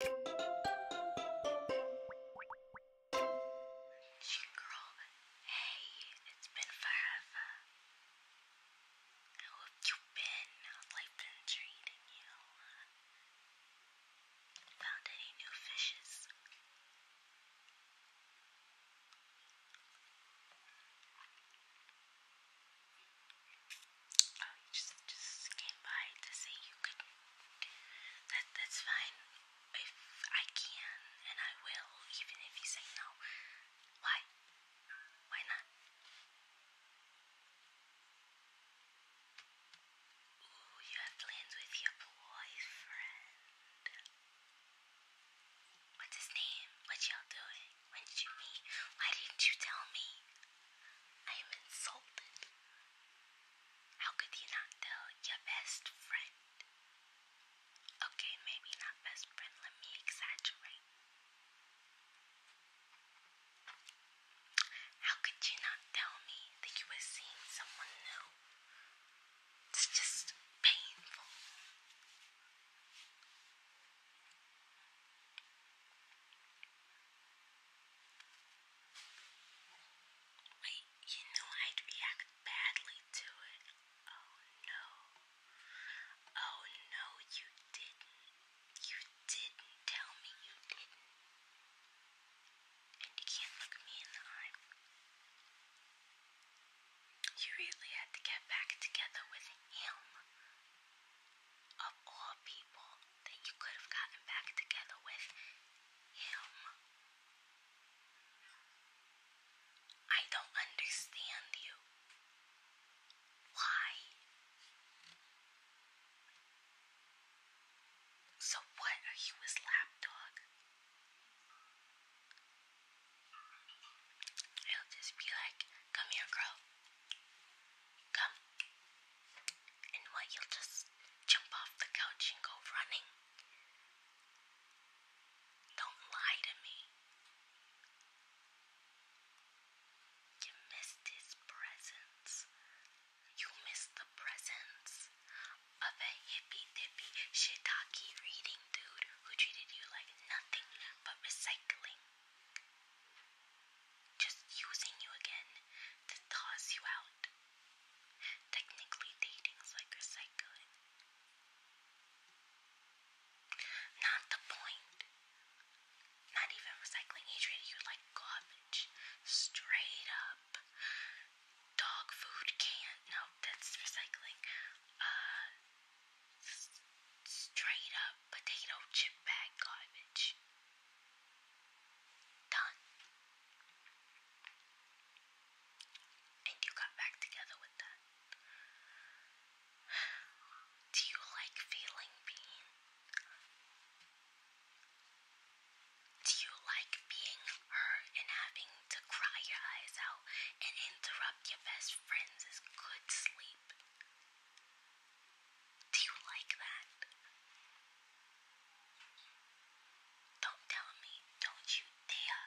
Your girl, hey, it's been forever. How have you been? How's life been treating you? Found any new fishes? Oh, you just, just came by to say you could. That, that's fine. If I can, and I will, even if you say no. Why? Why not? Ooh, you have plans with your boyfriend. What's his name? What y'all doing? When did you meet? Why didn't you tell me? I am insulted. How could you not tell your best friend? Okay, maybe not best friend, let me exaggerate. How could you not tell me that you were seeing someone new? It's just painful. Wait, you know I'd react badly to it. Oh no. Oh no, you didn't. You didn't tell me you didn't. And you can't look me in the eye. You really had to get back together with him. Of all people, that you could have gotten back together with him. I don't understand you. Why? So, what are you, his lapdog? It'll just be like, come here, girl. Come and why you'll just jump off the couch and go running. Don't lie to me. You missed his presence. You missed the presence of a hippy dippy shiitake reading dude who treated you like nothing but recycling just using you again to toss you out. Technically, dating's like recycling. Not the point. Not even recycling. He treated you like garbage. Straight up. Dog food can't. No, that's recycling. Uh, straight up potato chip bag garbage. Done. And you got back together with that. Do you like feeling pain? Do you like being hurt and having to cry your eyes out and interrupt your best friends' good sleep? Do you like that? Don't tell me, don't you dare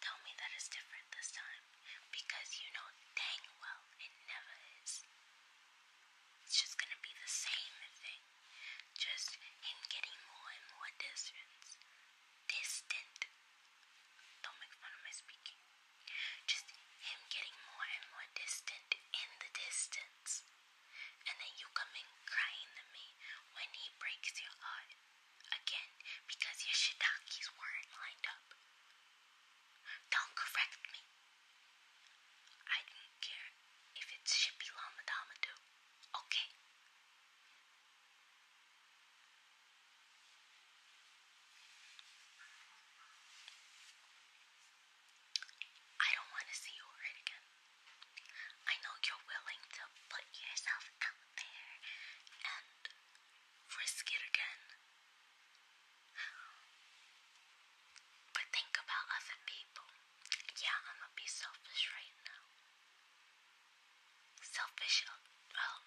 tell me that it's different this time because you know dang well it never is. It's just gonna be the same thing, just him getting more and more distance. Distant. Don't make fun of my speaking. Just him getting more and more distant in the distance. And then you come in crying to me when he breaks your heart again because your shiitakes weren't lined up. Don't correct me. I don't care if it's Shippy Lama Dama do. Okay. I don't want to see you hurt again. I know you're willing to put yourself out there and risk it again. But think about other people. Yeah, I'm gonna be selfish right now. Selfish, uh, well,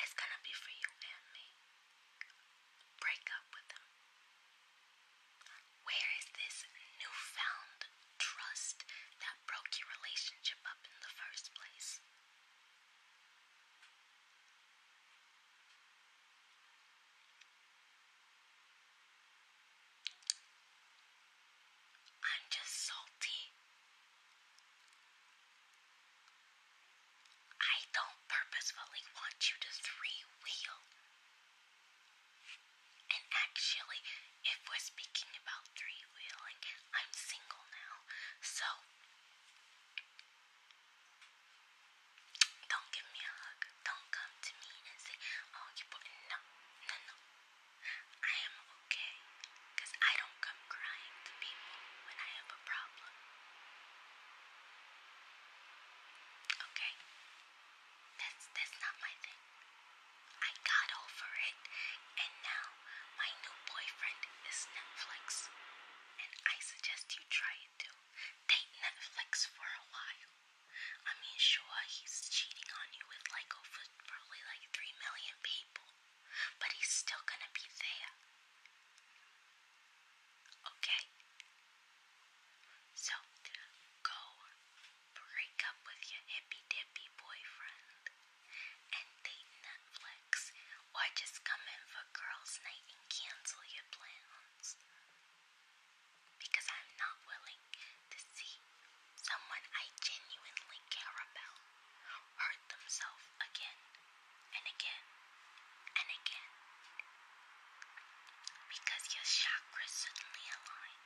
it's gonna be for you and me break up with him. Where is this newfound trust that broke your relationship up in the first place? I'm just salty. I don't purposefully want you to three wheel and actually, if we're speaking about three wheeling, I'm single now, so don't give me a hug. Don't come to me and say, "Oh, you put no, no, no." I am okay, I don't come crying to people when I have a problem. Okay. That's that's not my thing. I got over it, and now my new boyfriend is Netflix, and I suggest you try it too. Date Netflix for a while. I mean, sure, he's cheating on you with like over probably like three million people, but he's still gonna be there. Okay, so go break up with your hippy dippy boyfriend and date Netflix, or just come in for girls' night and cancel your plans. Because I'm not willing to see someone I genuinely care about hurt themselves again and again and again because your chakras suddenly align.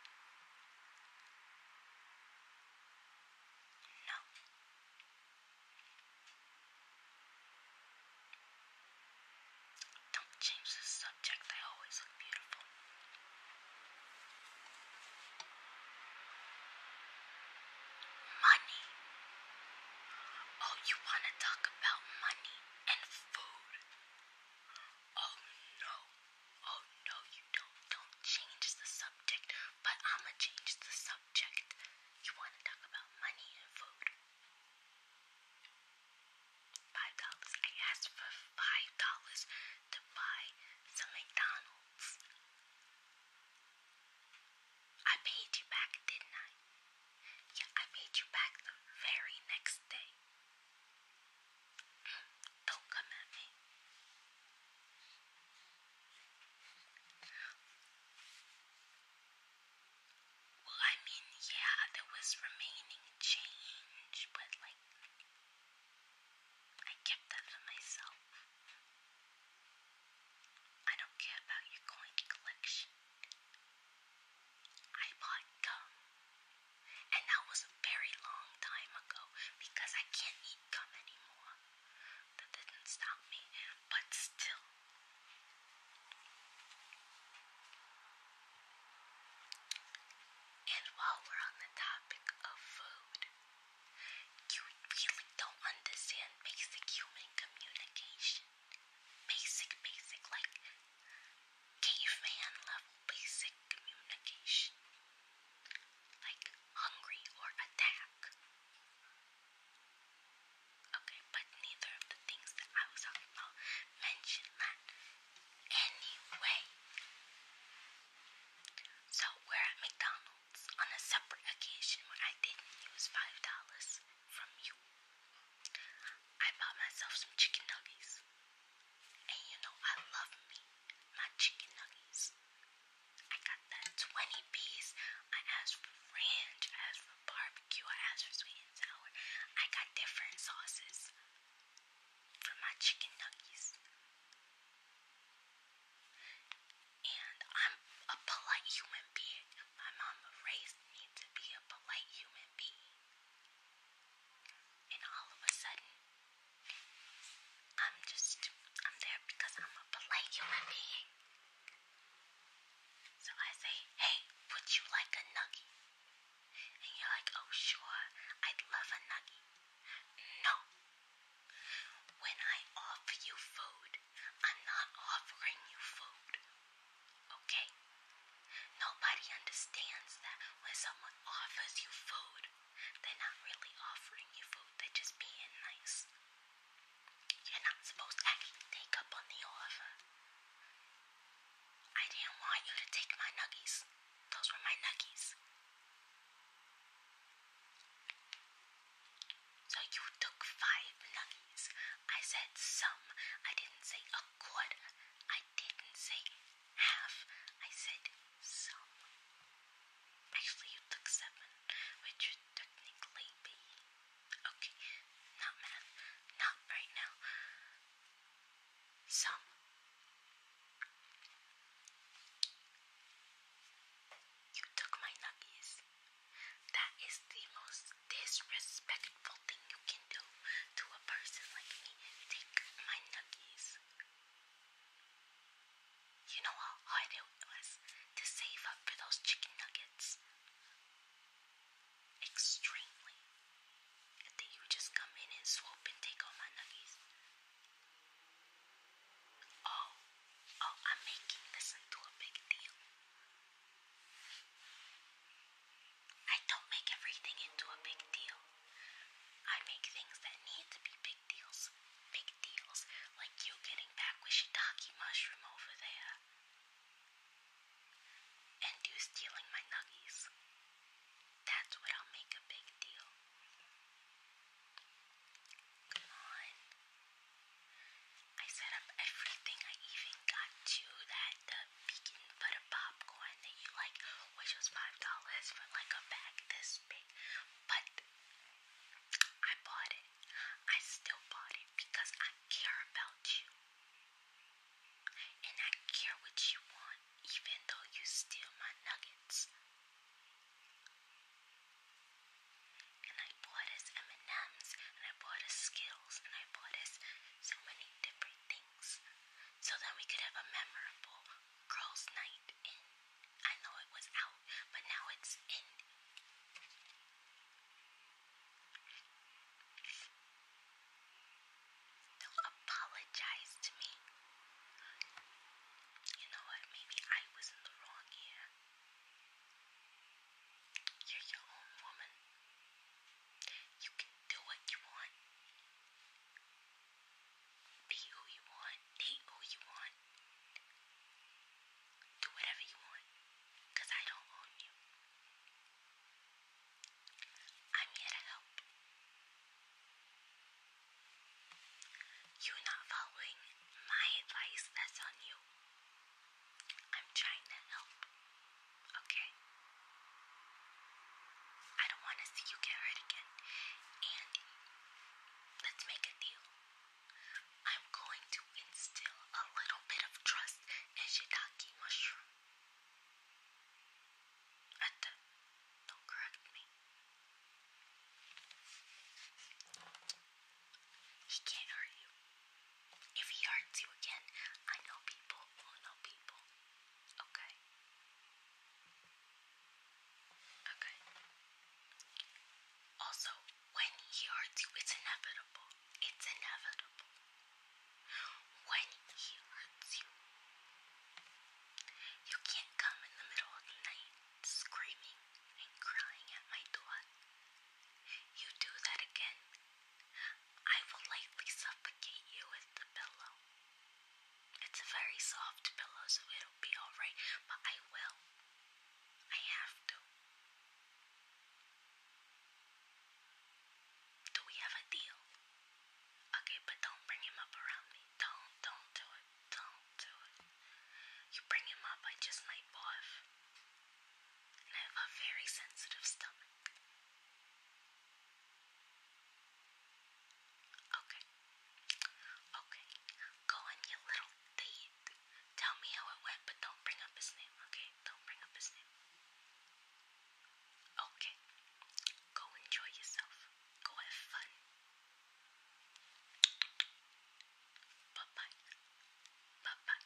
No. Don't change the subject, they always look beautiful. Money. Oh, you want to talk about money? and food. Oh no, oh no, you don't, don't change the subject, but I'ma change the subject. You wanna talk about money and food? Five dollars. I asked for five dollars to buy some McDonald's. I paid you back, didn't I? Yeah, I paid you back the very next day. Mm, don't come at me. Well, I mean, yeah, there was remaining change, but like, I kept that for myself. I don't care about your coin collection. I bought gum. And that was a very long time ago because I can't eat gum anymore. That didn't stop me, but still. And while we're on the topic of food, you really don't understand basic human communication. Basic, basic, like Cave man level basic communication, like hungry or attack. Okay, but neither of the things that I was talking about mentioned that anyway. So we're at McDonald's on a separate occasion when I didn't use five dollars from you. I bought myself some chicken nuggets. And you know, I love me, my chicken nuggets. I got that 20 piece. I asked for ranch, I asked for barbecue, I asked for sweet and sour. I got different sauces for my chicken nuggets. And I'm a polite human being. My mama raised me to be a polite human being. And all of a sudden, I'm just, I'm there because I'm a polite human being. So I say, hey, would you like a nugget? And you're like, oh, sure, I'd love a nugget. No. When I offer you food, I'm not offering you food. Okay? Nobody understands that when someone offers you food, they're not really offering you food, they're just being nice. You're not supposed to actually take up on the offer. I didn't want you to take my nuggies, those were my nuggies. So you took five nuggies. I said some. I didn't say a a I didn't say half. I said some. Actually, you took seven, which technically be. Okay, not math. Not right now. Some. You took my nuggies. That is the most disrespectful thing you can do to a person like me. Take my nuggies. You know how hard it was to save up for those chicken nuggets? Extremely. And then you just come in and swoop and take all my nuggies. Oh, oh, I'm making this into a big deal. I don't make everything into a big deal. I make things that need to be big deals. Big deals, like you getting back with shiitake mushroom over there. And you stealing my nuggies. That's what I'll make a big deal. Come on. I set up everything. I even got you that the beacon for popcorn that you like, which was five dollars for like a bag this big. But I bought it. I still bought it because I care about you. And I care what you want, even though you steal my nuggets. And I bought us M&M's, and I bought us Skittles and I bought us so many different things so that we could have a memorable girls' night I know it was out, but now it's in. Don't apologize to me. You know what? Maybe I was in the wrong here. You're your own woman. You can do what you want. Be who you want. Date who you want. Do whatever you want. I don't own you. I'm here to help. You're not following my advice, that's on you. I'm trying to help, okay? I don't want to see you get hurt again. And let's make a deal. I'm going to instill a little bit of trust in shiitake mushroom. Atta, don't correct me. He can't hurt you. If he hurts you again, I know people will know people. Okay? Okay. Also, when he hurts you, it's inevitable. It's inevitable. When he hurts you, you can't come in the middle of the night screaming and crying at my door. You do that again, I will lightly suffocate you with the pillow. It's a very soft pillow, so it'll be alright, but I will. I have to. Do we have a deal? Okay, but don't bring him up around me. Don't, don't do it. Don't do it. You bring him up, I just might barf. And I have a very sensitive stomach. Okay. Okay. Go on, you little thief. Tell me how it went, but don't bring up his name, okay? Don't bring up his name. Okay. Go enjoy yourself. Go have fun. Bye bye. Bye bye.